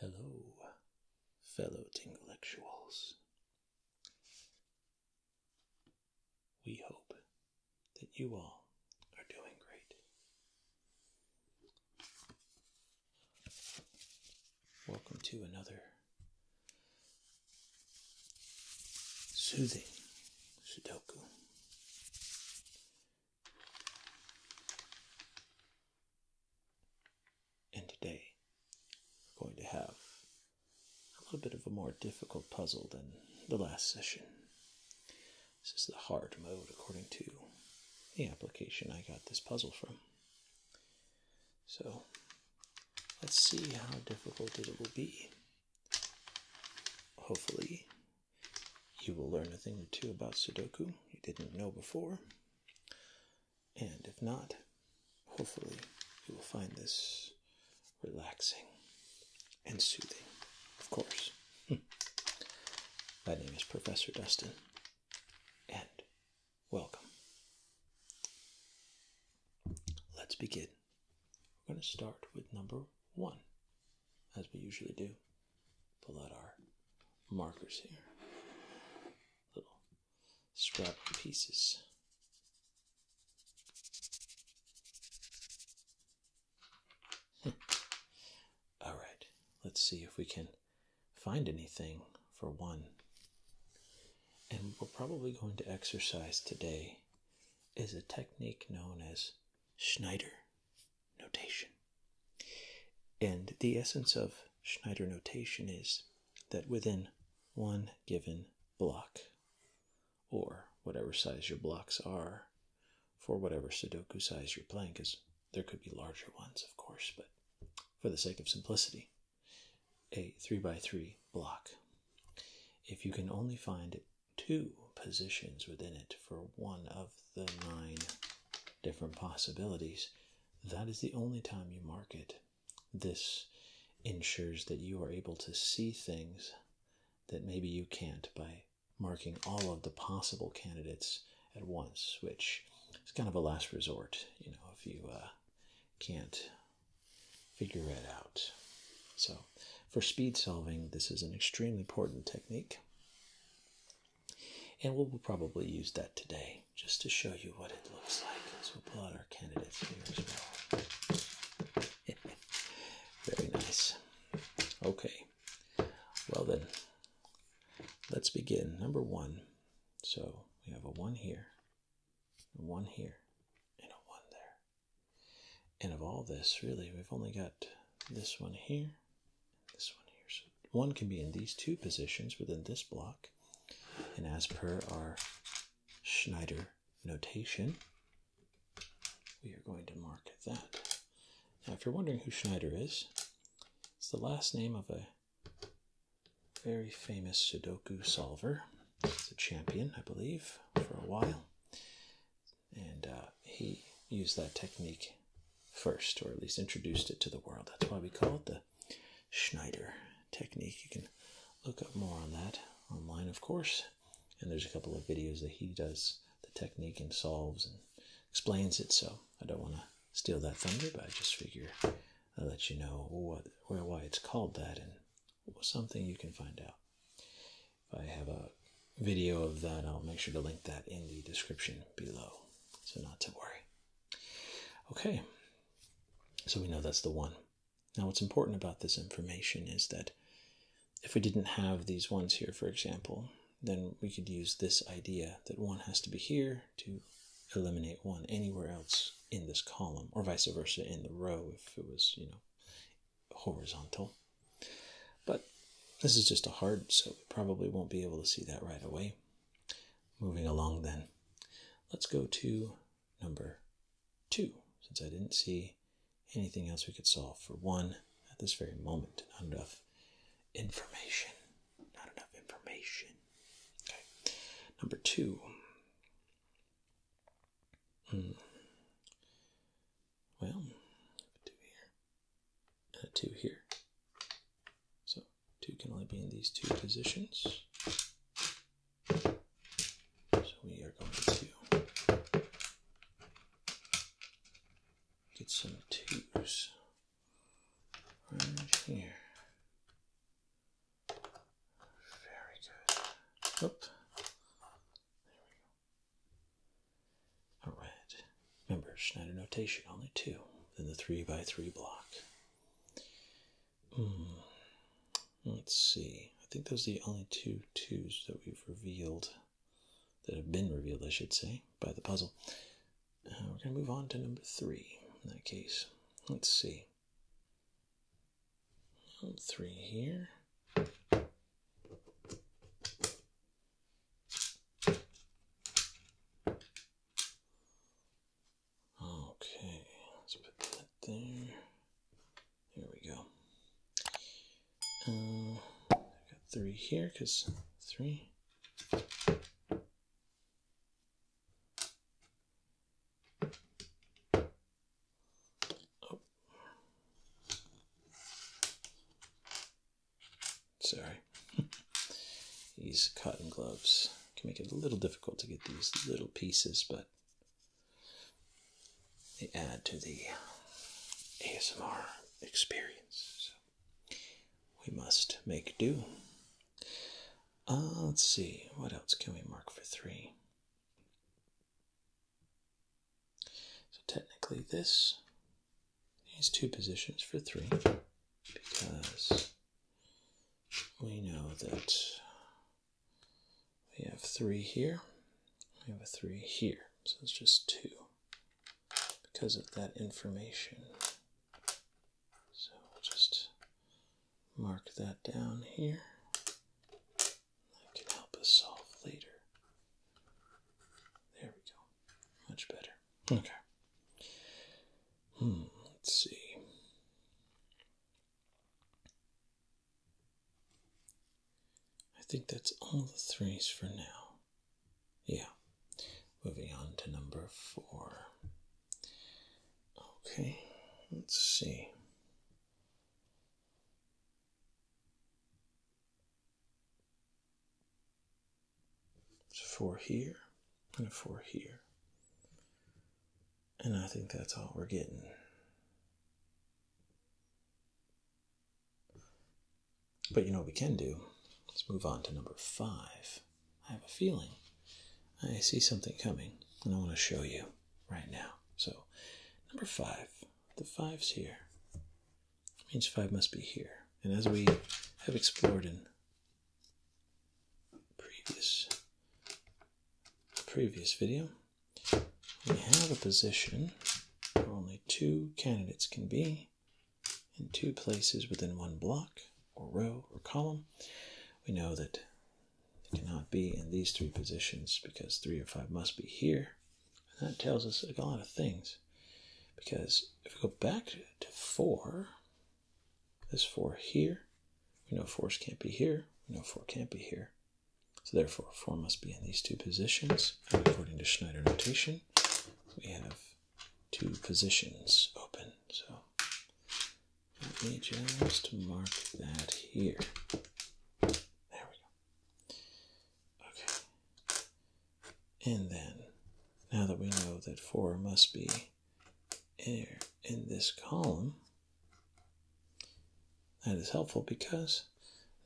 Hello, fellow Tinglectuals. We hope that you all are doing great. Welcome to another Soothing Sudoku. And today we're going to have a little bit of a more difficult puzzle than the last session. This is the hard mode according to the application I got this puzzle from. So Let's see how difficult it will be. Hopefully, you will learn a thing or two about Sudoku you didn't know before. And if not, hopefully, you will find this relaxing and soothing, of course. My name is Professor Dustin, and Welcome. Let's begin. We're going to start with number one, as we usually do. Pull out our markers here, little scrap pieces. All right, let's see if we can find anything for one and we're probably going to exercise today is a technique known as Schneider notation. And the essence of Schneider notation is that within one given block, or whatever size your blocks are, for whatever Sudoku size you're playing, because there could be larger ones, of course, but for the sake of simplicity, a 3x3 block if you can only find two positions within it for one of the nine different possibilities that is the only time you mark it this ensures that you are able to see things that maybe you can't by marking all of the possible candidates at once which is kind of a last resort you know if you uh, can't figure it out. So, for speed solving, this is an extremely important technique. And we'll, probably use that today just to show you what it looks like. As we pull out our candidates here as well. Very nice. Okay. Well, then, let's begin. Number one. So, we have a 1 here, one here, and a one there. And of all this, really, we've only got this one here, this one here. So one can be in these two positions within this block. And as per our Schneider notation, we are going to mark that. Now, if you're wondering who Schneider is, it's the last name of a very famous Sudoku solver. the champion, I believe, for a while. And uh, he used that technique first, or at least introduced it to the world. That's why we call it the Schneider technique. You can look up more on that online, of course. And there's a couple of videos that he does the technique and solves and explains it. So I don't want to steal that thunder, but I just figure I'll let you know what, why it's called that and something you can find out. If I have a video of that, I'll make sure to link that in the description below. So, not to worry. Okay, so we know that's the one. Now, what's important about this information is that if we didn't have these ones here, for example, then we could use this idea that one has to be here to eliminate one anywhere else in this column, or vice versa in the row if it was, you know, horizontal. But this is just a hard, so we probably won't be able to see that right away. Moving along then, let's go to number two, since I didn't see anything else we could solve for one at this very moment. Not enough information. Not enough information. Okay. Number two. Hmm. Well, two here, and uh, two here. So two can only be in these two positions. So we are going to get some twos here. Very good. Oop. There we go. All right. Remember, Schneider notation, only two in the 3 by 3 block. Hmm. Let's see. I think those are the only two twos that we've revealed, that have been revealed, I should say, by the puzzle. Uh, we're going to move on to number three in that case. Let's see three here. Okay, let's put that there. There we go. I uh, got three here because three. Oh. Sorry. these cotton gloves can make it a little difficult to get these little pieces, but they add to the ASMR experience. we must make do. Uh, let's see, what else can we mark for three? So technically this is two positions for three because we know that we have three here, we have a three here, so it's just two because of that information. So just mark that down here. That can help us solve later. There we go. Much better. Okay. Hmm, let's see. I think that's all the threes for now. Yeah. Moving on to number four. Okay, let's see. It's four here and a four here. And I think that's all we're getting. But you know what we can do? Let's move on to number five. I have a feeling I see something coming, and I want to show you right now. So number five, the fives here means five must be here. And as we have explored in previous previous video, we have a position where only two candidates can be in two places within one block or row or column. We know that it cannot be in these three positions because three or five must be here. And that tells us a lot of things. Because if we go back to four, this four here, we know 4 can can't be here. We know four can't be here. So therefore, four must be in these two positions. And according to Schneider notation, we have two positions open. So let me just mark that here. There we go. Okay. And then, now that we know that 4 must be here in this column, that is helpful because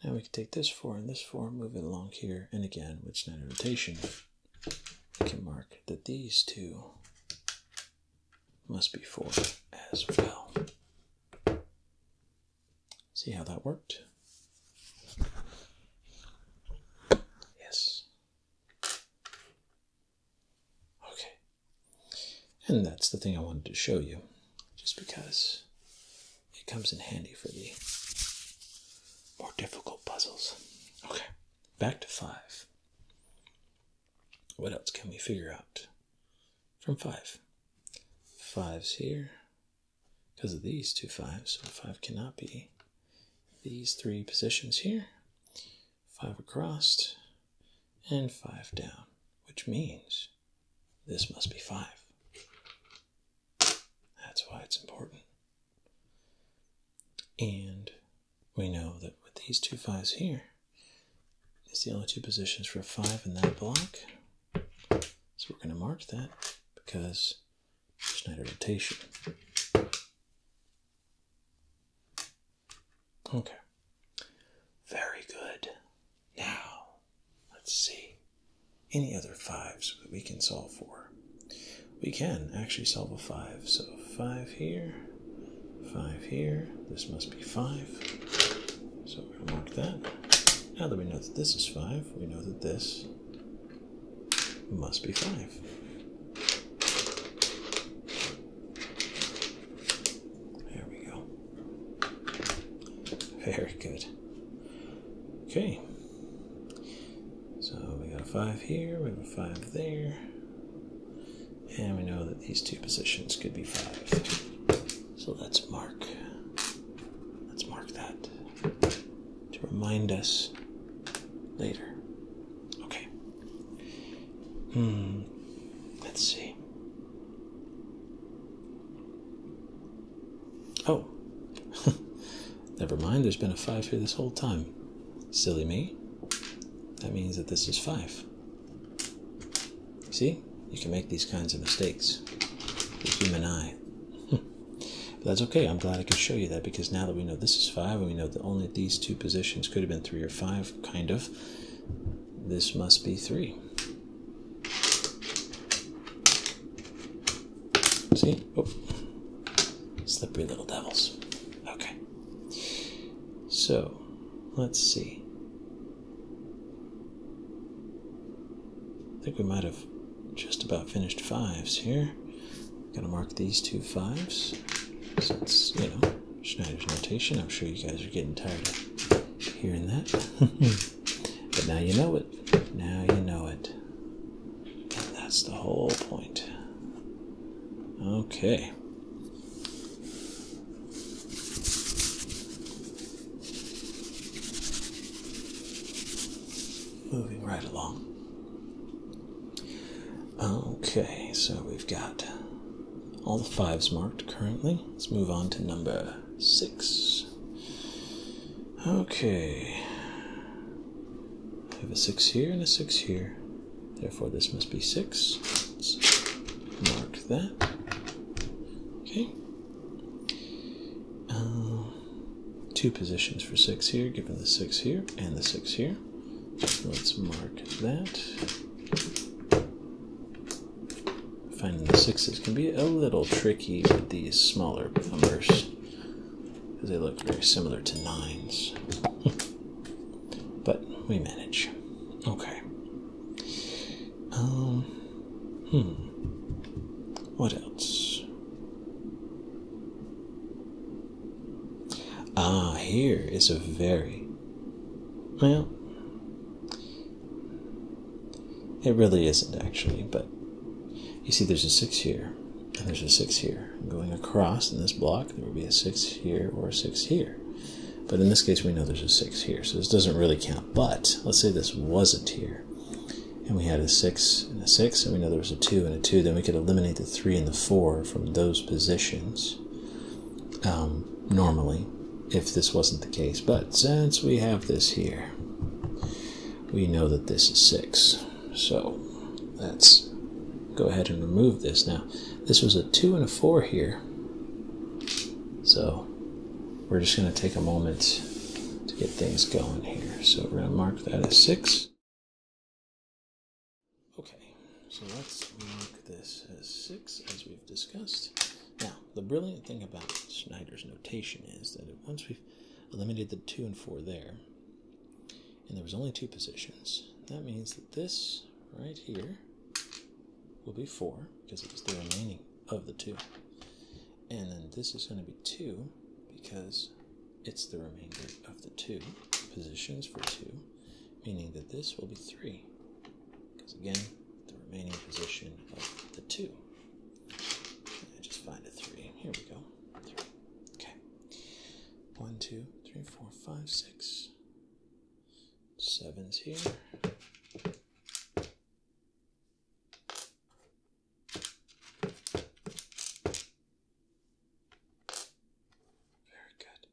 now we can take this 4 and this 4, move it along here, and again with standard rotation, we can mark that these two must be 4 as well. See how that worked? Yes. Okay. And that's the thing I wanted to show you, just because it comes in handy for the more difficult puzzles. Okay, back to 5. What else can we figure out? from five, fives here because of these two fives, so five cannot be these three positions here. Five across and five down, which means this must be five. That's why it's important. And we know that with these two fives here, it's the only two positions for a five in that block. So we're going to mark that because Schneider rotation. Okay. Very good. Now, let's see. Any other fives that we can solve for? We can actually solve a five. So five here five here. This must be five. So we're mark that. Now that we know that this is five, we know that this must be five. There we go. Very good. Okay. So we got a five here, we got a five there. And we know that these two positions could be five. So let's mark, let's mark that to remind us later. Okay. Hmm. Let's see. Oh. Never mind, there's been a five here this whole time. Silly me. That means that this is five. See, you can make these kinds of mistakes. The human eye. but that's okay. I'm glad I could show you that because now that we know this is five and we know that only these two positions could have been three or five, kind of, this must be three. See? Oh. Slippery little devils. Okay. So, let's see. I think we might have just about finished fives here. Gonna mark these two fives. Since, you know, Schneider's notation. I'm sure you guys are getting tired of hearing that. but now you know it. Now you know it. that's the whole point. Okay. Moving right along. Okay, so we've got all the fives marked currently. Let's move on to number six. Okay. I have a six here and a six here. Therefore, this must be 6 mark marked Okay. Uh, two positions for six here, given the six here and the six here. Let's mark that. Finding the sixes can be a little tricky with these smaller numbers because they look very similar to nines. but we manage. Okay. Um, hmm. What else? Ah, here is a very. Well, it really isn't actually, but you see, there's a six here, and there's a six here. I'm going across in this block, there would be a six here or a six here. But in this case, we know there's a 6 here, so this doesn't really count. But let's say this wasn't here, and we had a 6 and a 6, and we know there was a 2 and a 2, then we could eliminate the 3 and the 4 from those positions um, normally if this wasn't the case. But since we have this here, we know that this is 6. So let's go ahead and remove this now. This was a two and a four here. So we're just gonna take a moment to get things going here. So we're gonna mark that as six. Okay, so let's mark this as six as we've discussed. Now, the brilliant thing about Snyder's notation is that once we've eliminated the two and four there, and there was only two positions, that means that this right here will be 4 because it's the remaining of the 2. And then this is going to be 2 because it's the remainder of the 2 positions for 2, meaning that this will be 3 because again, the remaining position of the 2. just find a 3. Here we go. Okay. 1, 2, 3, 4, 5, 6 sevens here. Very good.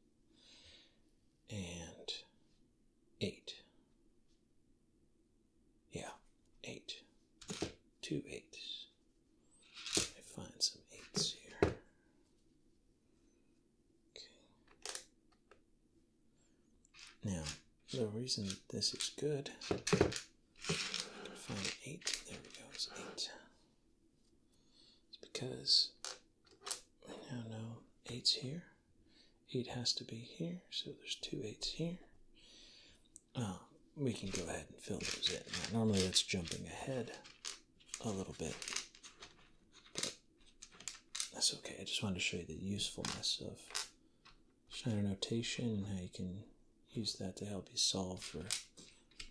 And eight. Yeah, eight. Two eights. I find some eights here. Okay. Now, the reason this is good, find eight, there we go, it's eight. It's because we now know eight's here. Eight has to be here, so there's two eights here. Oh, we can go ahead and fill those in. normally that's jumping ahead a little bit, that's okay. I just wanted to show you the usefulness of Shiner notation and how you can use that to help you solve for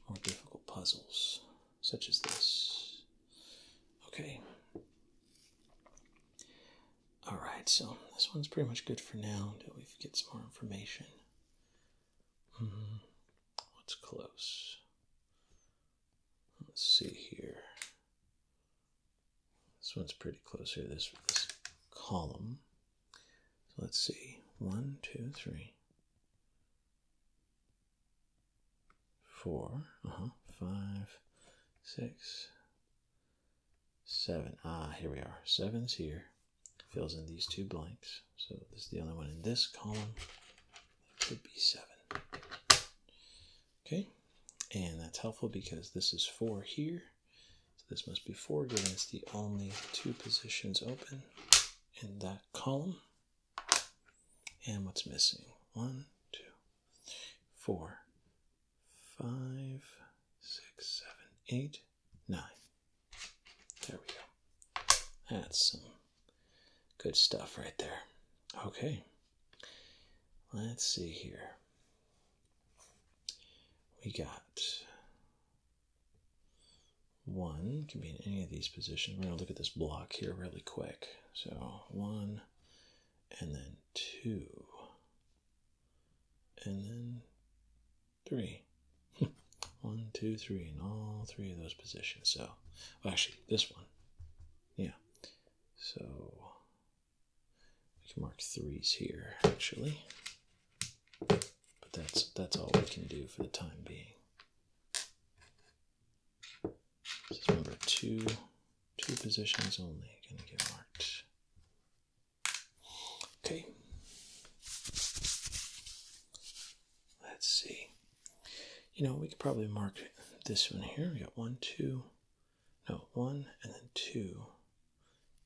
more difficult puzzles, such as this. Okay. Alright, so this one's pretty much good for now until we get some more information. Mm -hmm. What's close? Let's see here. This one's pretty close here, this, column. So let's see. One, two, three, four, uh-huh, five, six, seven. Ah, here we are. Seven's here. Fills in these two blanks. So this is the only one in this column. It could be seven. Okay, and that's helpful because this is four here. So this must be four given it's the only two positions open in that column. And what's missing? One, two, four, five, six, seven, eight, nine. There we go. That's some good stuff right there. Okay. Let's see here. We got one, can be in any of these positions. We're going to look at this block here really quick. So one, and then two, and then three. one, two, three, in all three of those positions. So, actually, this one. Yeah. So we can mark threes here, actually. But that's, that's all we can do for the time being. This number two, two positions only going to get marked. Okay. Let's see. You know, we could probably mark this one here. We got one, two, no, one and then two.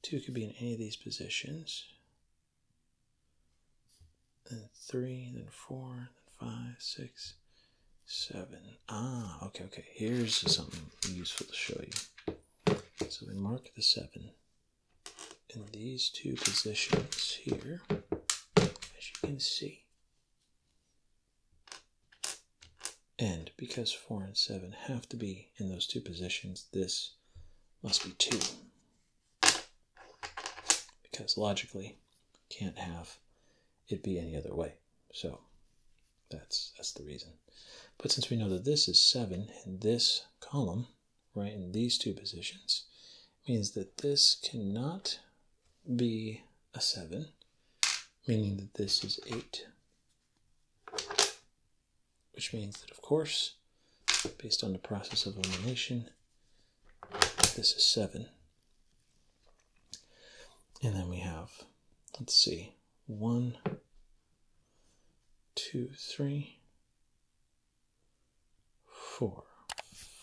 Two could be in any of these positions. Then three, then four, then five, six, seven. Ah, okay, okay. Here's something useful to show you. So we mark the seven in these two positions here, as you can see. And because 4 and 7 have to be in those two positions, this must be 2. Because logically, can't have it be any other way. So that's, that's the reason. But since we know that this is 7 in this column, right, in these two positions, means that this cannot be a 7 meaning that this is 8. Which means that, of course, based on the process of elimination, this is 7. And then we have, let's see, 1, 2, 3, 4.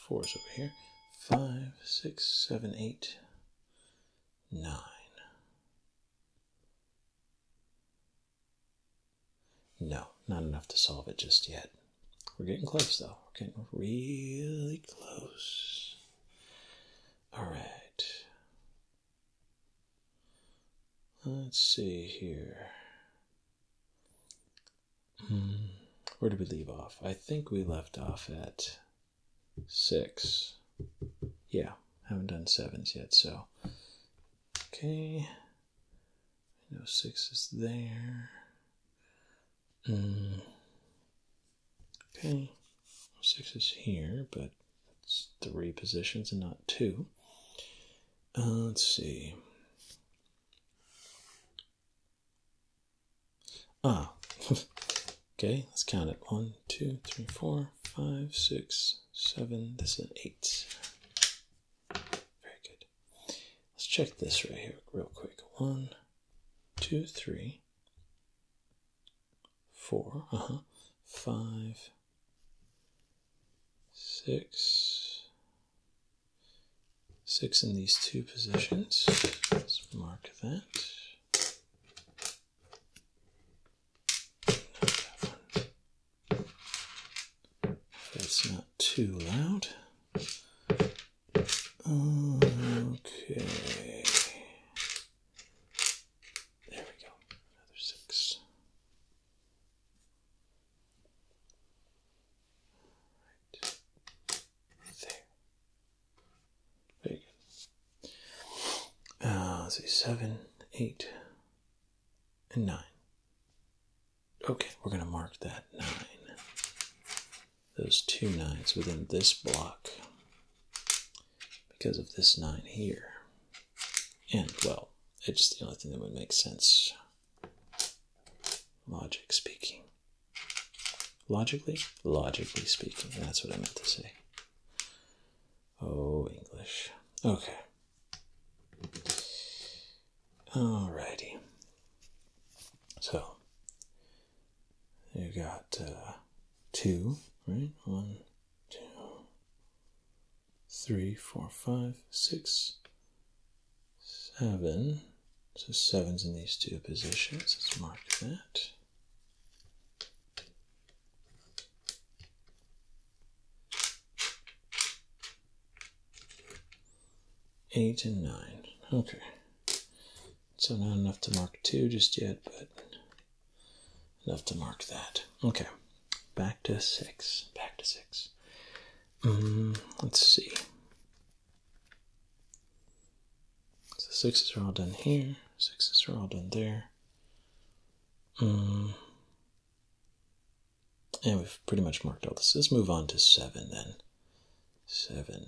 4 is over here. 5, 6, 7, 8, nine, no, not enough to solve it just yet. We're getting close though, we're getting really close. All right, let's see here. Hmm. where did we leave off? I think we left off at six. Yeah, haven't done sevens yet, so. Okay. I know six is there. Mm. Okay. Six is here, but it's three positions and not two. Uh, let's see. Ah, okay, let's count it. One, two, three, four, five, six, seven. This is eight. Very good. Let's check this right here real quick. one, two, three, four, uh-huh. five, six, six in these two positions. Let's mark that. That's not too loud. Okay. There we go. Another six. There. Very good. Uh, let's see, seven, eight, and nine. Okay, we're going to mark that nine. Those two nines within this block because of this nine here. And, well, it's the only thing that would make sense, logic speaking. Logically? Logically speaking, that's what I meant to say. Oh, English. Okay. Alrighty. So, you got uh, two, right? One, two, three, four, five, six, seven. So, seven's in these two positions. Let's mark that. Eight and nine. Okay. So not enough to mark two just yet, but enough to mark that. Okay. Back to six. Back to six. Mm, let's see. So sixes are all done here, sixes are all done there. Um, and we've pretty much marked all this. Let's move on to seven then. Seven.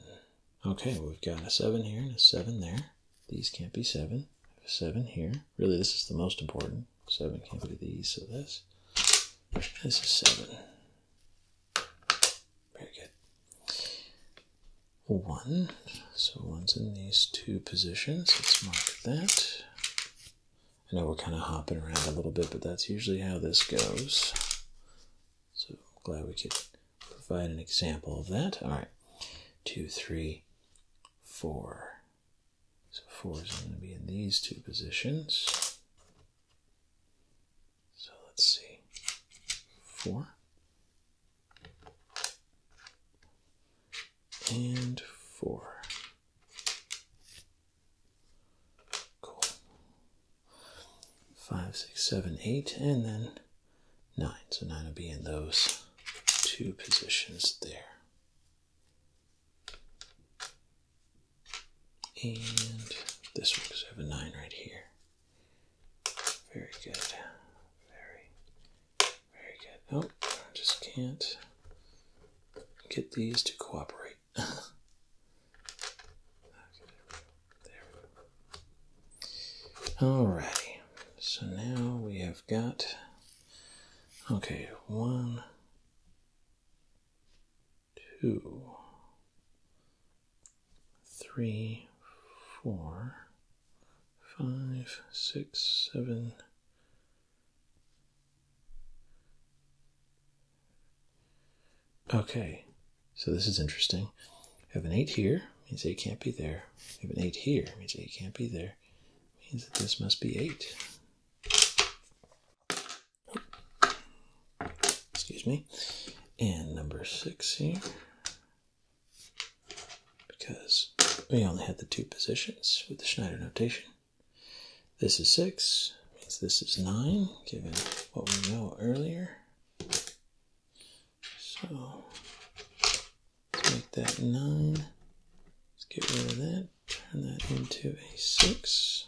Okay, we've got a seven here and a seven there. These can't be seven. Seven here. Really, this is the most important. Seven can't be these, so this. This is seven. Very good. One. So one's in these two positions. Let's mark that. I know we're kind of hopping around a little bit, but that's usually how this goes. So glad we could provide an example of that. All right. Two, three, four. So four is going to be in these two positions. So let's see. Four and four. Cool. Five, six, seven, eight, and then nine. So nine will be in those two positions there. And this one, because I have a nine right here. Very good. Very, very good. Oh, I just can't get these to cooperate. okay, there Alrighty. So now we have got, okay, one, two, three, four, five, six, seven, Okay, so this is interesting. I have an 8 here, means 8 can't be there. I have an 8 here, means 8 can't be there. Means that this must be 8. Excuse me. And number 6 here because we only had the two positions with the Schneider notation. This is 6, means this is 9, given what we know earlier. So, make that 9. Let's get rid of that, turn that into a 6.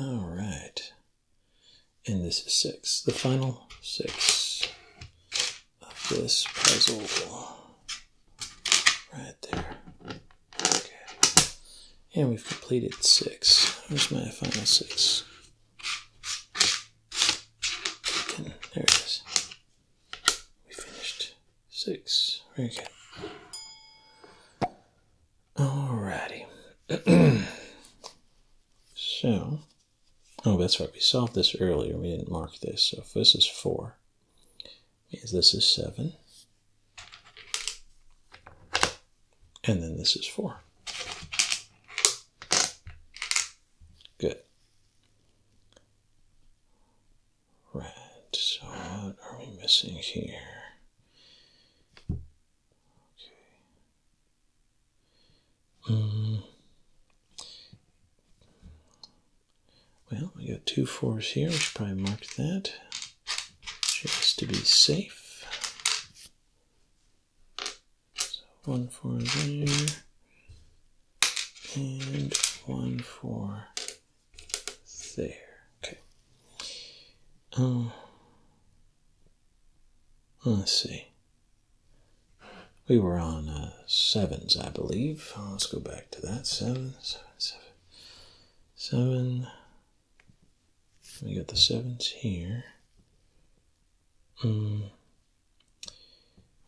All right. And this is six, the final six of this puzzle. Right there. Okay. And we've completed six. Where's my final six? there it is. We finished six. Very good. righty. so Oh, that's right. We solved this earlier. We didn't mark this. So this is 4, means this is 7. And then this is 4. Good. Right. So what are we missing here? Okay. Mm. well, we got two fours here. We should probably mark that just to be safe. So one four there, and one four there. Okay. Um, let's see. We were on uh, sevens, I believe. Let's go back to that. Seven, seven, seven, seven. We got the sevens here. Hmm.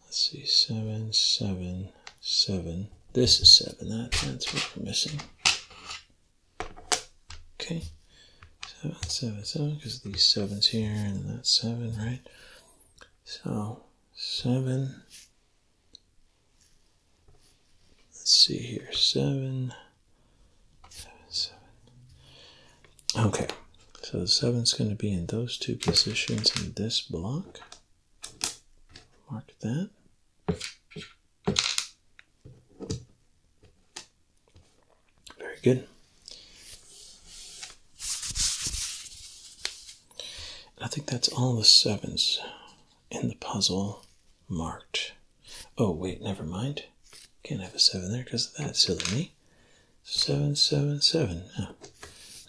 Let's see, seven, seven, seven. This is seven. that's what we're missing. Okay seven, seven, seven, because these sevens here and that seven, right? So seven. Let's see here, seven, seven, seven. Okay, so the seven's going to be in those two positions in this block. Mark that. Very good. I think that's all the sevens in the puzzle marked. Oh, wait, never mind. Can't have a seven there because of that, silly me. Seven, seven, seven. Ah,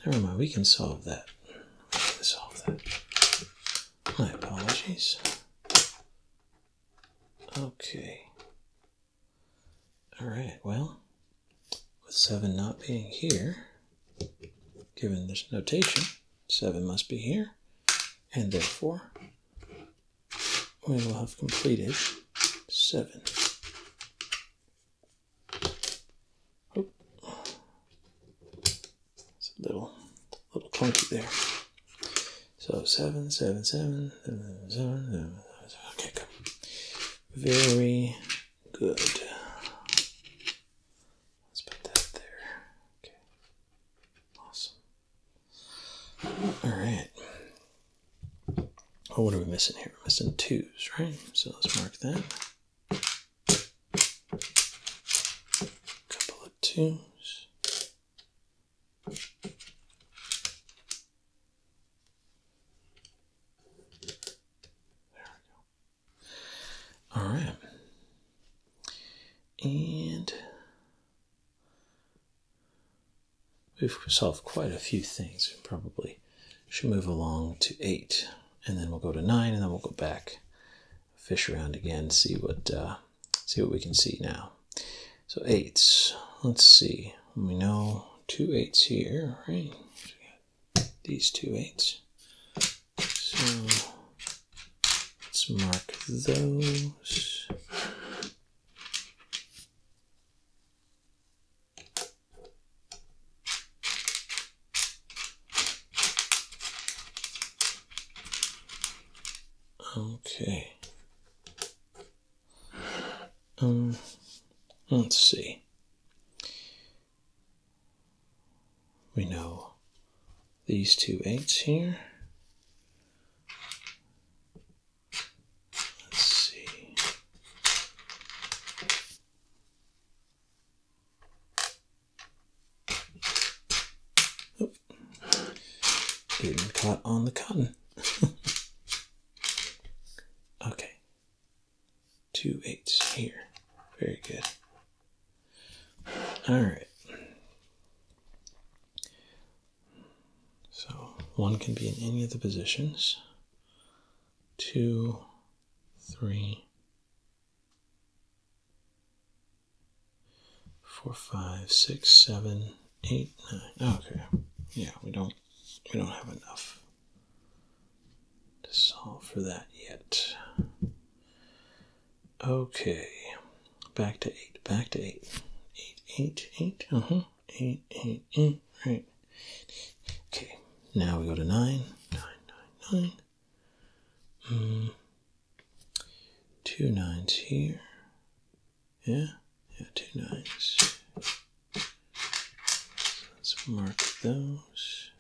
never mind, we can solve that. We can solve that. My apologies. Okay. All right, well, with 7 not being here, given this notation, 7 must be here, and therefore we will have completed 7. Oop. It's a little, little clunky there. So 7, 7, 7, Okay, good. Very good. Let's put that there. Okay. Awesome. All right. Oh, what are we missing here? We're missing twos, right? So let's mark that. Couple of twos we go. All right. And we've solved quite a few things. We probably should move along to eight, and then we'll go to nine, and then we'll go back, fish around again, see what uh, see what we can see now. So eights. Let's see. We know two eights here, right? these two eights. So let's mark those. Okay. Um, let's see. We know these two eights here. Let's see. Getting caught on the cotton. Okay. Two eights here. Very good. All right. So one can be in any of the positions. Two, three, four, five, six, seven, eight, nine. Okay. Yeah, we don't we don't have enough to solve for that yet. Okay, back to eight, back to eight, eight, eight, eight, uh huh, eight, eight, eight, right. Okay, now we go to nine, nine, nine, nine. Mm. Two nines here, yeah? Yeah, two nines. Let's mark those.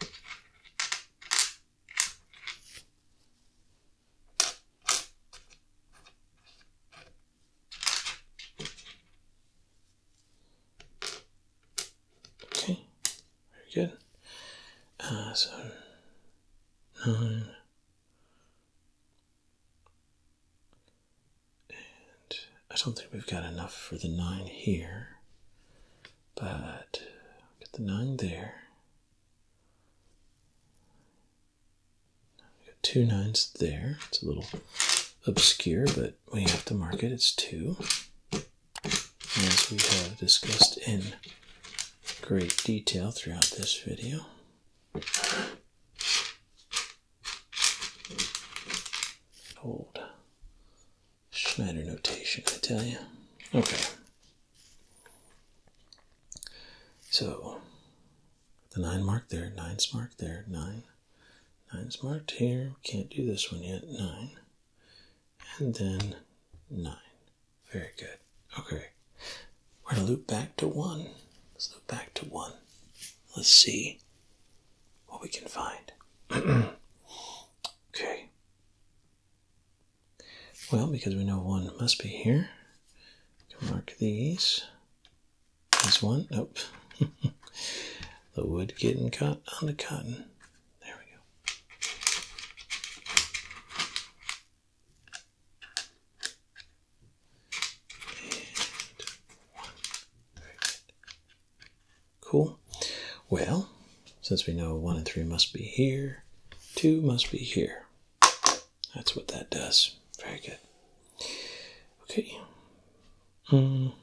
Okay, very good. Uh, so, nine, I don't think we've got enough for the nine here, but get the nine there. We've got two nines there. It's a little obscure, but we have to mark it. It's two, as we have discussed in great detail throughout this video. Old Schneider notation, I tell you. Okay. So, the 9 mark there, nine's marked there, 9. nine's marked here. Can't do this one yet. 9. And then 9. Very good. Okay. We're going to loop back to 1. Let's go back to 1. Let's see what we can find. okay. Well, because we know one must be here, mark these. This one, nope. the wood getting caught on the cotton. There we go. Cool. Well, since we know one and three must be here, two must be here. That's what that does. Very good. Okay. Um,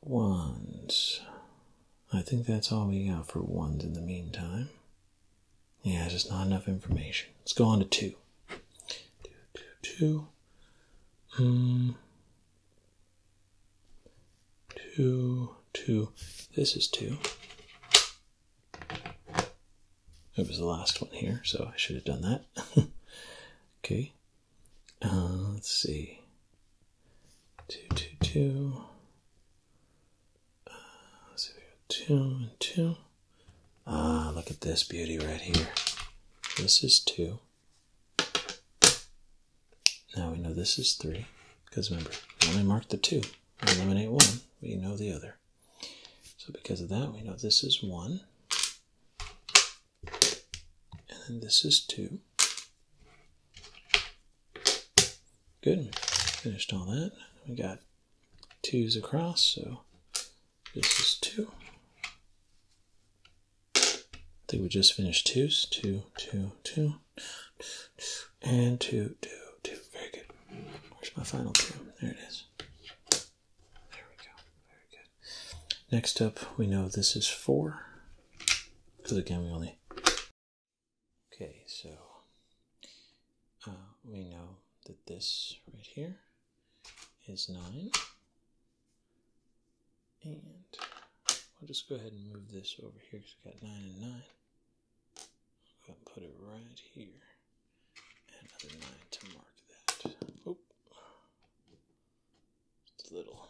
ones. I think that's all we have for ones in the meantime. Yeah, it's not enough information. Let's go on to two, two. Um, two, two. This is two. It was the last one here, so I should have done that. okay. Uh, let's see. Two, two, two let's see, we got two and two. Ah, look at this beauty right here. This is two. Now we know this is three, because remember, we only mark the two. We eliminate one, we know the other. So because of that, we know this is one. And then this is two. Good, we finished all that. We got twos across, so this is two. I think we just finished twos, two, two, two, and two, two, two. Very good. Where's my final two? There it is. There we go. Very good. Next up, we know this is four, because again, we only. Okay, so uh, we know that this right here is 9. And we'll just go ahead and move this over here because we have got 9 and 9. I'll put it right here. And another 9 to mark that. Oop. Just a little.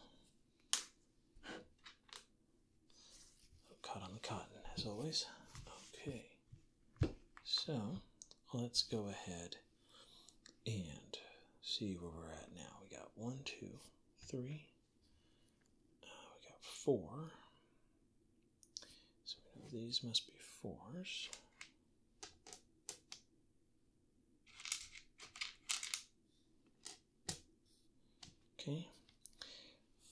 Caught on the cotton, as always. Okay. So let's go ahead and see where we're at now. We got one, two, three. Uh, we got four. So we know these must be fours. Okay.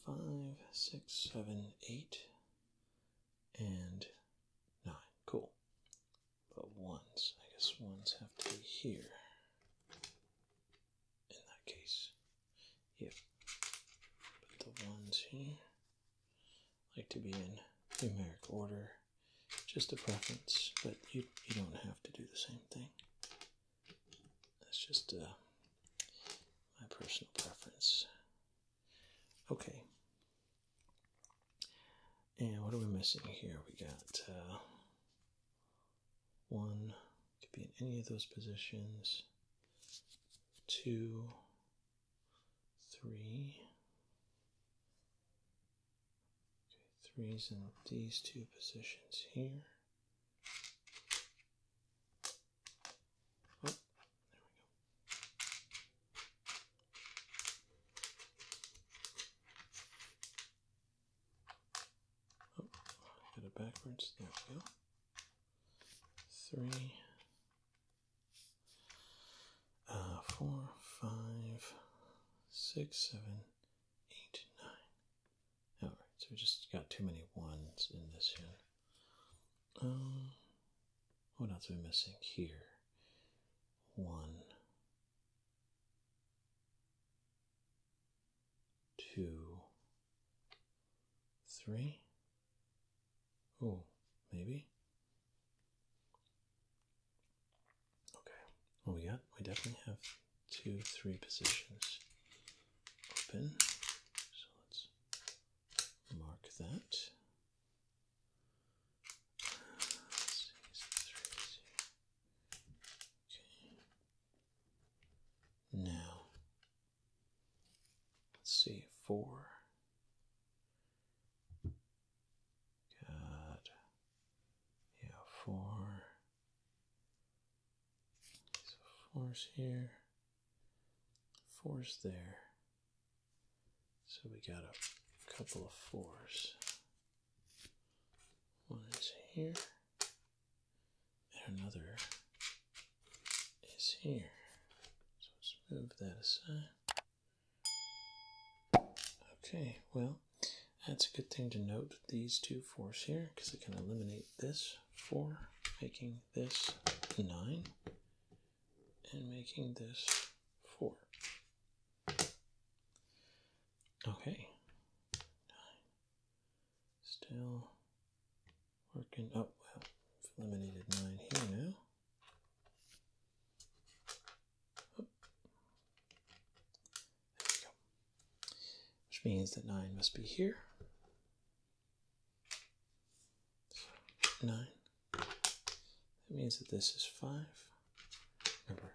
Five, six, seven, eight and 9. Cool. But ones, I guess ones have to be here in that case. If put the ones here, like to be in numeric order, just a preference, but you, you don't have to do the same thing. That's just uh, my personal preference. Okay. And what are we missing here? We got uh, one, could be in any of those positions, two, three. Okay, three's in these two positions here. Oh, there we go. Oh, got it backwards. There go. Three, uh, four, five, six, seven, eight, nine. All right, so we just got too many ones in this hand. Um, what else are we missing here? One, two, three. Oh, maybe. Okay. we got? We definitely have two, three positions open. So let's mark that. Okay. Now, let's see, four. God. Yeah, four. So fours here fours there. So we got a couple of fours. One is here, and another is here. So let's move that aside. Okay, well, that's a good thing to note these two fours here because it can eliminate this four, making this nine and making this 4. Okay. Still working. Oh, well, eliminated 9 here now. Oh. There we go. Which means that 9 must be here nine. That means that this is five. Remember,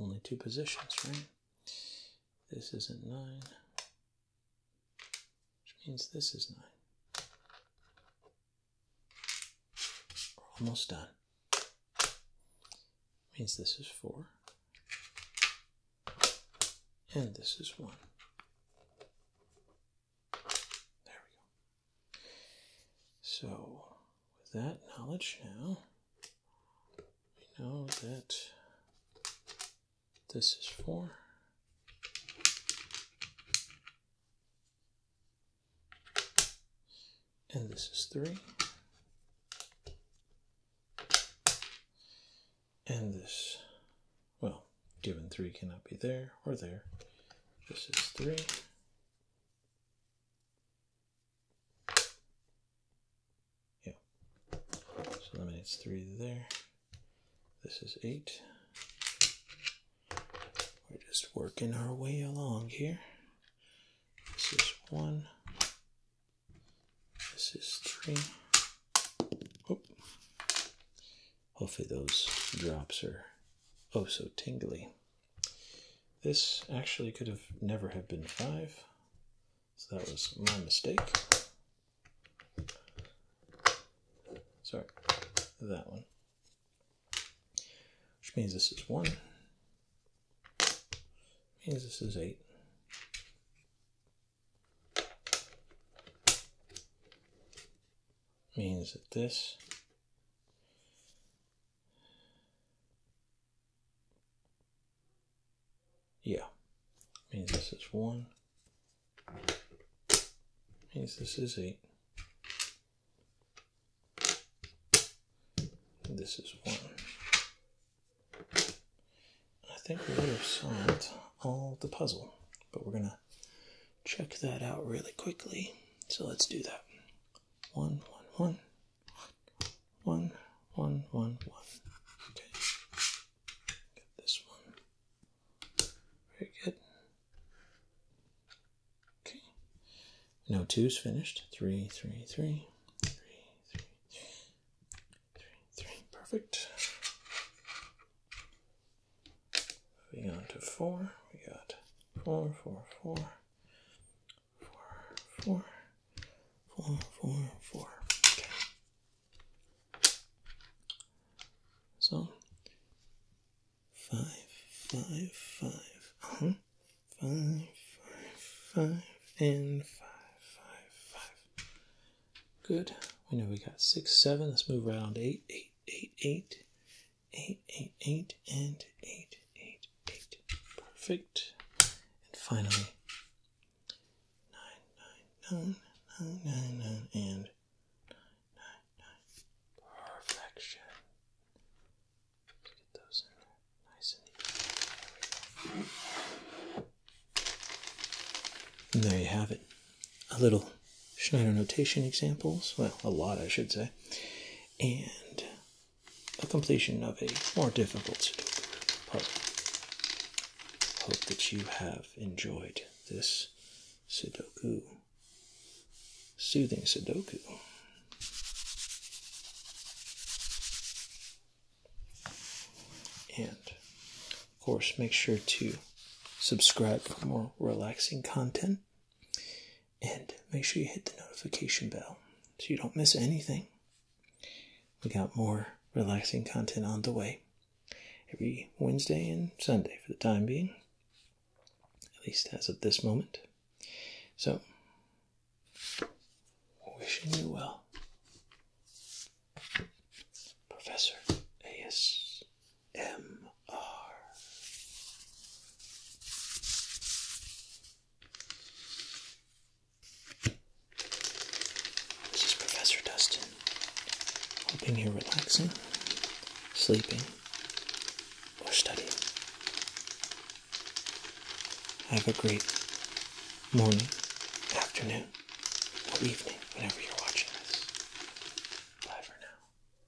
only two positions, right? This isn't nine, which means this is nine. We're almost done. Means this is four, and this is one. There we go. So, with that knowledge now, we know that this is 4. And this is 3. And this well, given 3 cannot be there or there, This is 3. Yeah. So eliminates 3 there. This is 8. We're just working our way along here. This is 1. This is 3. Hopefully, those drops are oh so tingly. This actually could have never have been five, so that was my mistake. Sorry, that one. Which means this is one. Means this is eight means that this yeah means this is one means this is eight this is one I think we would have solved all the puzzle but we're gonna check that out really quickly. So let's do that. One, one, one, one, one, one, one. Okay. Got this one. Very good. Okay. No two's finished. Three, three, three. Perfect. Moving on to four, we got four, four, four, four, four, four, four, four. Okay. So five, five, five, uh-huh. five, five, five, and five, five, five. Good. We know we got six, seven. Let's move around eight, eight eight, eight, eight, eight, eight, eight, and eight, eight, eight. Perfect. And finally, nine, nine, nine, nine, nine, nine, and nine, nine. Perfection. let get those in there, nice and neat. there you have it a little Schneider notation examples, well, a lot I should say, and a completion of a more difficult puzzle. Hope that you have enjoyed this Sudoku, soothing Sudoku. And of course, make sure to subscribe for more relaxing content and make sure you hit the notification bell so you don't miss anything. We got more relaxing content on the way every Wednesday and Sunday for the time being, at least as of this moment. So, wishing you well, Professor A.S. MR. This is Professor Dustin. Hoping you're relaxing, sleeping, or studying. Have a great morning, afternoon, or evening, whenever you're watching this. Bye for now.